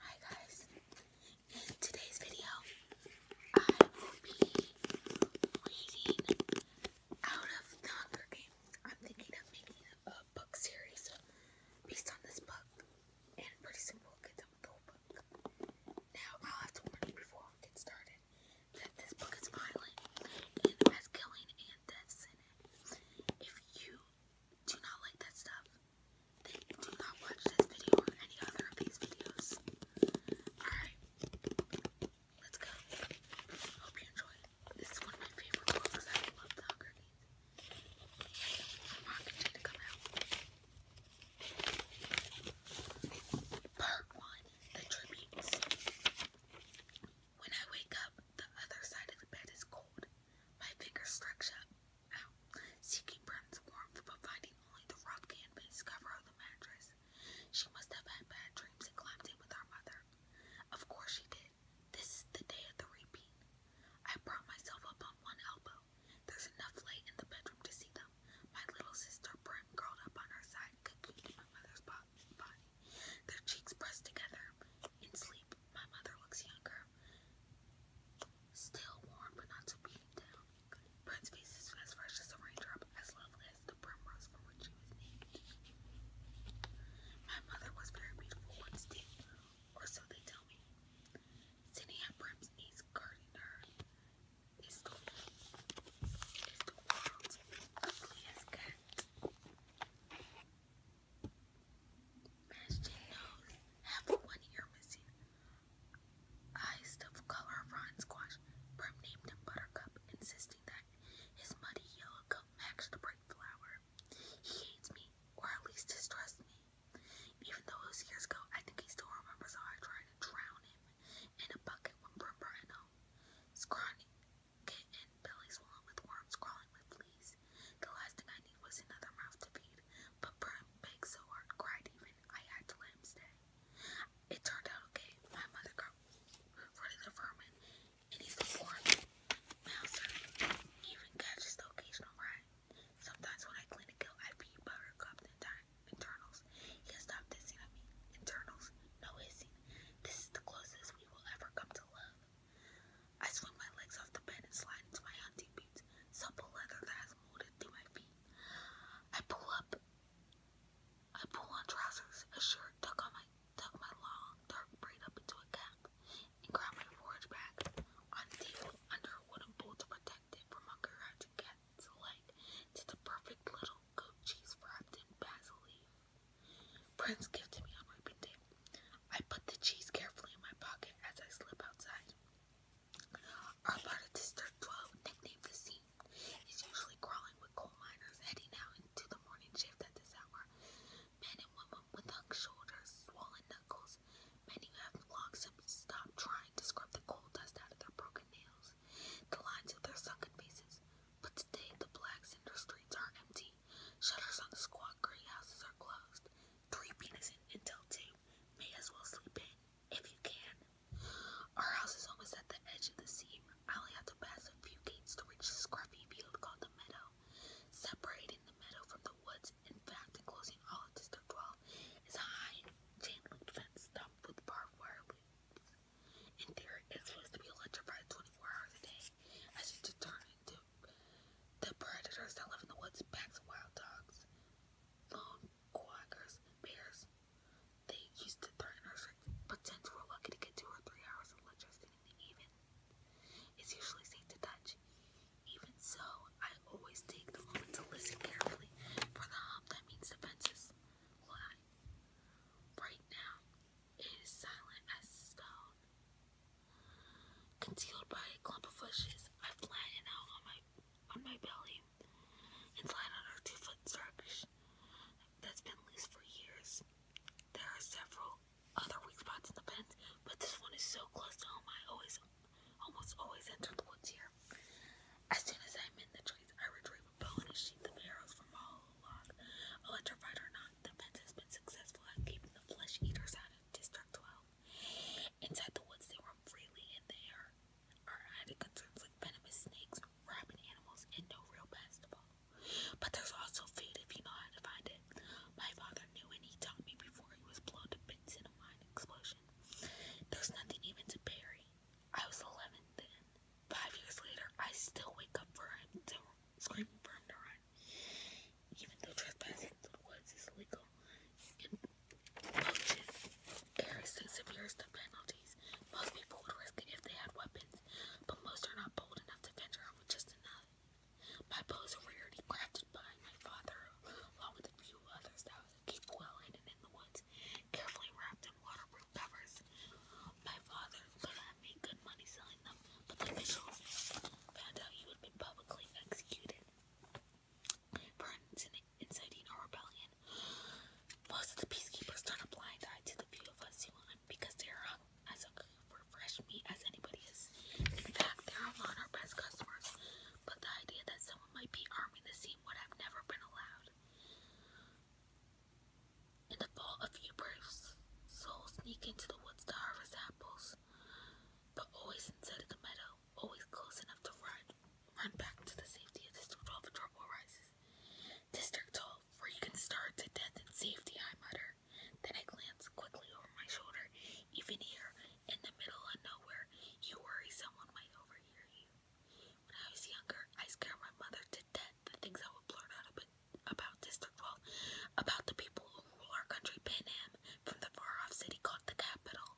Hi guys, in today's video I will be reading out of the Hunger Games. I'm thinking of making a book series based on this book and pretty soon we'll get done the book. Now I'll have to warn you before we get started that this book is violent and has killing and deaths in it. If you do not like that stuff, do not watch this video or any other of these videos. Alright, let's go. Hope you enjoy. This is one of my favorite books. I love the Hunger Games. I'm not going to Part 1 The Tributes. When I wake up, the other side of the bed is cold. My fingers stretched up, out, seeking Brent's warmth, but finding only the rough canvas cover of the mattress. She must have had bad dreams and climbed in with our mother. Of course she did. This is the day of the repeat. I brought myself up on one elbow. There's enough light in the bedroom to see them. My little sister Brent curled up on her side, cocooned in my mother's body. Their cheeks pressed together. In sleep, my mother looks younger. Still warm, but not too beaten down. Brent's face is as fresh as a raindrop, as lovely as the primrose for which she was named. My mother was very beautiful once, too, or so they tell me. Sitting at Brent's knees, guarding her, is the, is the world's ugliest cat. Matching nose, half one ear missing. Eyes of color of squash. Brim named him Buttercup, insisting that his muddy yellow coat matched the bright flower. He hates me, or at least distrusts me. Even though those years ago, I think he still remembers how I tried to drown him in a bucket when Brim brought him kitten, belly swollen with worms, crawling with fleas. The last thing I need was another mouth to feed, but Prime begged so hard, cried even, I had to let him stay. It turned out okay. My mother got rid the vermin, and he's the fourth mouser. even catches the occasional rat. Sometimes when I clean a gill, I feed Buttercup the entire internals. He stopped hissing at me. Internals, no hissing. This is the closest we will ever come to love. I swing my legs off the bed and slide into my hunting boots, supple leather that has molded through my feet. I pull up, I pull on trousers, a shirt, tuck on my tuck my long dark braid up into a cap, and grab my forage bag on the under a wooden bowl to protect it from my garage and cat's light. It's a perfect little goat cheese wrapped in basil leaf. Prince gifted me on Reaping Day. I put the cheese carefully in my pocket as I slip outside. Our part District 12, nicknamed the scene, is usually crawling with coal miners heading out into the morning shift at this hour. Men and women with hung shoulders, swollen knuckles, men who have long since stopped trying to scrub the coal dust out of their broken nails the lines of their sunken faces. But today the black cinder streets are empty. Shutters on the squat gray houses are closed. Three penis in until two. May as well sleep in, if you can. Our house is almost at the edge of the sea. I only have to pass a few gates to reach a scruffy field called the meadow. Separating the meadow from the woods, in fact, enclosing all District 12, is a high chain link fence stuffed with barbed wire in theory, it's supposed to be electrified 24 hours a day as you to turn into the predators that live in the woods, packs of wild dogs, lone quackers, bears. They used to threaten us, but since we're lucky to get two or three hours of electricity in the evening, it's usually safe to touch. Even so, I always take the moment to listen carefully for the hum that means defenses lie. Right now, it is silent as stone. Concealed by a clump of bushes, I flatten out on my on my belly and slide our two foot starfish that's been loose for years. There are several other weak spots in the pen, but this one is so close to home I always almost always enter the woods here. As soon as I'm in the trees, I retrieve a bow and a sheath arrows from a Electrified or not, the fence has been successful at keeping the flesh eaters out of District 12. Inside the woods, they roam freely, and they are, are added concerns venomous snakes, rabid animals, and no real pest But there's also food if you know how to find it. My father knew, and he taught me before he was blown to bits in a mine explosion. There's nothing even to bury. I was 11 then. Five years later, I still wake up for him to scream for him to run. Even though trespassing through illegal in poaching areas the severest of penalties, most people would risk it if they had weapons, but most are not bold enough to venture out with just enough. My bow is a crafted by my father, along with a few others that keep well hidden in the woods carefully wrapped in waterproof covers. My father could have made good money selling them, but the officials found out he would be publicly executed for inciting a rebellion. Most of the peacekeepers turn a blind eye to the few of us who human because they are as good for fresh meat as anybody is. In fact, they are among our best customers, but the idea that someone people might be arming the scene would have never been allowed. In the fall, a few brave souls sneak into the woods to harvest apples, but always inside of the meadow, always close enough to run, run back to the safety of District 12 if trouble arises. District 12, where you can starve to death in safety, I mutter. Then I glance quickly over my shoulder. Even here, in the middle of nowhere, you worry someone might overhear you. When I was younger, I scared my mother to death the things I would blurt out about District 12, about the people who rule our country, Pan Am, from the far-off city called the capital.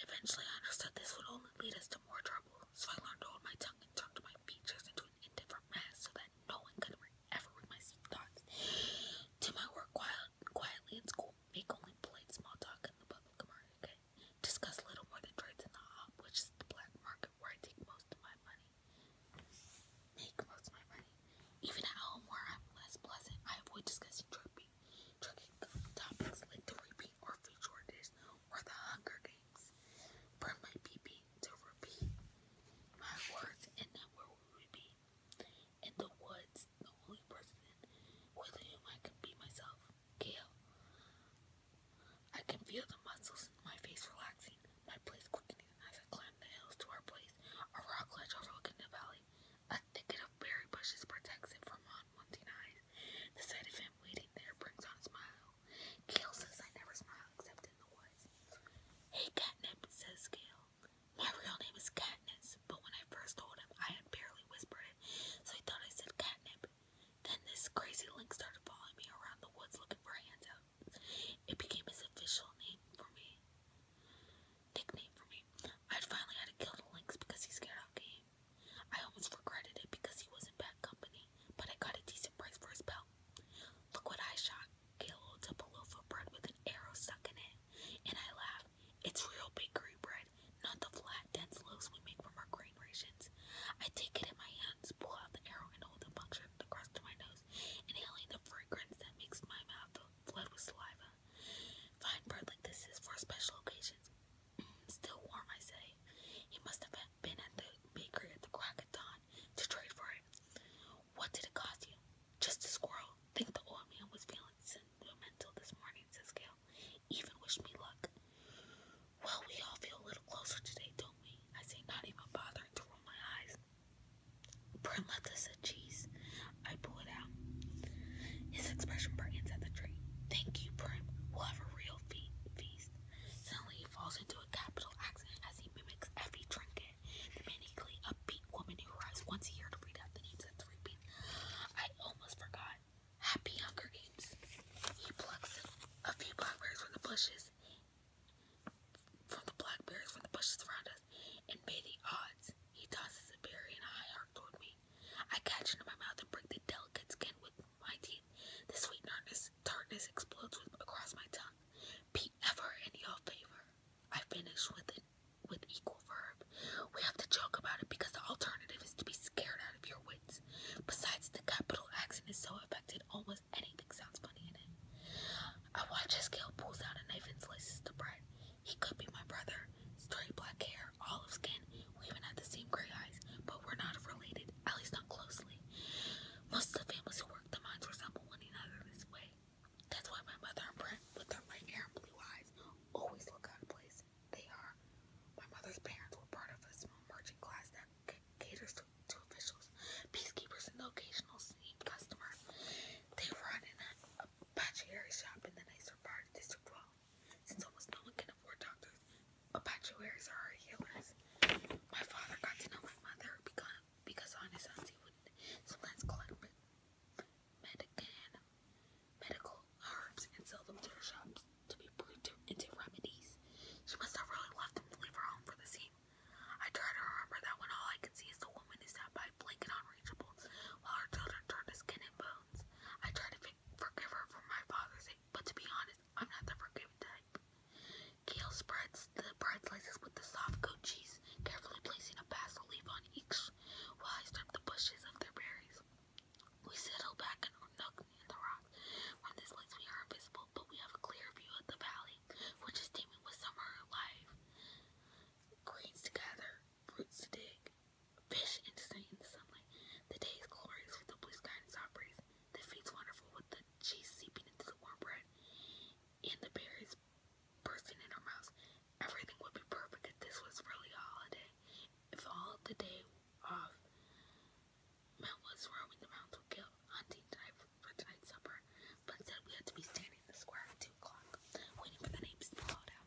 Eventually, I understood this would only lead us to more trouble, so I learned to hold my tongue and turned my features into an indifferent mask so that no one could ever read my secret thoughts. Did my work quiet, quietly in school, Make only polite small talk in the public market. Discuss little more than trades in the hop, which is the black market where I take most of my money. Make most of my money. Even at home where I'm less pleasant, I avoid discussing tripping, tripping topics like the repeat or food shortage or the Hunger Games. Burn my PP to repeat my words and not where in the woods, the only person with whom I can be myself, Gale. I can feel the muscles in my face relaxing, my place quickening as I climb the hills to our place, a rock ledge overlooking the valley. A thicket of berry bushes protects him from unwanted eyes. The sight of him waiting there brings on a smile. Gale says I never smile except in the woods. Hey, catnip, says Gale. My real name is Katniss, but when I first told him, I had barely whispered it, so he thought I said catnip. Then this crazy link started following me around the woods looking for handouts. It became his official name for me. Nickname for me. I'd finally had to kill the lynx because he scared out game. I almost regretted it because he was in bad company, but I got a decent price for his belt. Look what I shot. Killed a loaf of bread with an arrow stuck in it. And I laugh. It's real bakery bread, not the flat, dense loaves we make from our grain rations. I take it in my hands, pull out the arrow, and hold the puncture the crust to my nose, inhaling the fragrance that makes my mouth flood with saliva. Fine bread like this is for special occasions. Mm, still warm, I say. He must have been at the bakery at the crack of dawn to trade for it. What did it cost you? Just a squirrel. Think the old man was feeling sentimental this morning, says Gail. Even wish me luck. Well, we all feel a little closer today, don't we? I say, not even bothering to roll my eyes. Perletta said, cheese. I pull it out. His expression brightens at the tree. Thank you, Prim. We'll have a real fe feast. Suddenly, he falls into a capital accident as he mimics Effie Trinket the manically upbeat woman who arrives once a year to read out the names of three people. I almost forgot. Happy Hunger Games. He plucks a few blackberries from the bushes, from the blackberries from the bushes around us, and may the odds. He tosses a berry in a high arc toward me. I catch it in my mouth and break the delicate skin with my teeth. The sweet tartness, tartness explodes across my tongue. Be ever in your favor. I finish with it with equal verb. We have to joke about it because the alternative is to be scared out of your wits. Besides, the capital accent is so affected, almost anything sounds funny in it. I watch as Gale pulls out a knife and slices the bread. He could be my brother. Straight black hair, olive skin. We even have the same gray eyes, but we're not related, at least not closely. Most of the families who work the mines resemble one another this way. That's why my mother and Brent, with their light hair and blue eyes, always look out of place. They are. My mother's parents were part of a small merchant class that caters to, officials, peacekeepers, and occasional sneak customer. They run in a, a patchouli shop in the nicer part of District 12. Since almost no one can afford doctors, apothecaries are our healers. My father got to know my mother, become, because honest auntie would sometimes collect medican, medical herbs and sell them to her shops to be brewed into remedies. She must have really loved them to leave her home for the scene. I try to remember that when all I can see is the woman is sat by blank and unreachable, while her children turn to skin and bones. I try to forgive her for my father's sake, but to be honest, I'm not the forgiving type. Kale spreads the bread slices with the soft goat cheese, carefully placing a basil leaf on each while I strip the bushes of their berries. We settle back in our nook in the rock. From this place we are invisible, but we have a clear view of the valley, which is teeming with summer life. Greens together, gather, roots to dig, fish interesting in the sunlight. The day is glorious with the blue sky and soft breeze. The fate's wonderful with the cheese seeping into the warm bread and the berries bursting in our mouths. Everything would be perfect if this was really a holiday. If all the day off Mel was roaming the mountains with hunting tonight for tonight's supper, but instead we had to be standing in the square at 2 o'clock, waiting for the names to be called out.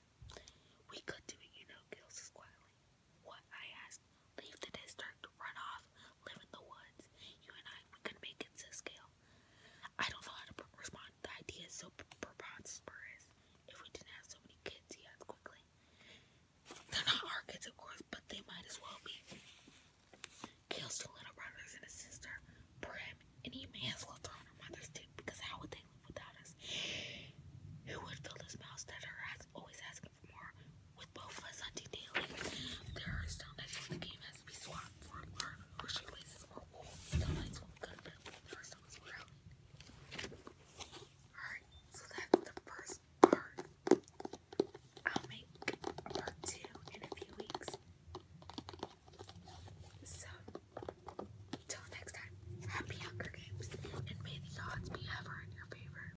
We could do it, you know, Gil says quietly. What? I asked leave the district, run off, live in the woods. You and I, we could make it to scale. I don't know how to respond. The idea is so preposterous. If we didn't have so many kids, yes, quickly. They're not our kids, of course, but they might as well be. Kills two little brothers and a sister, Prim, and he may as well throw on her mother's dick because how would they live without us? Who would fill this mouth that are always asking for more? with both of us hunting daily. There are still nights when the game has to be swapped for a lark or shoelaces or wool. Still nights when we go to bed there are someone's around. Alright, so that's the first part. I'll make part two in a few weeks. So, till next time, happy Hunger Games, and may the odds be ever in your favor.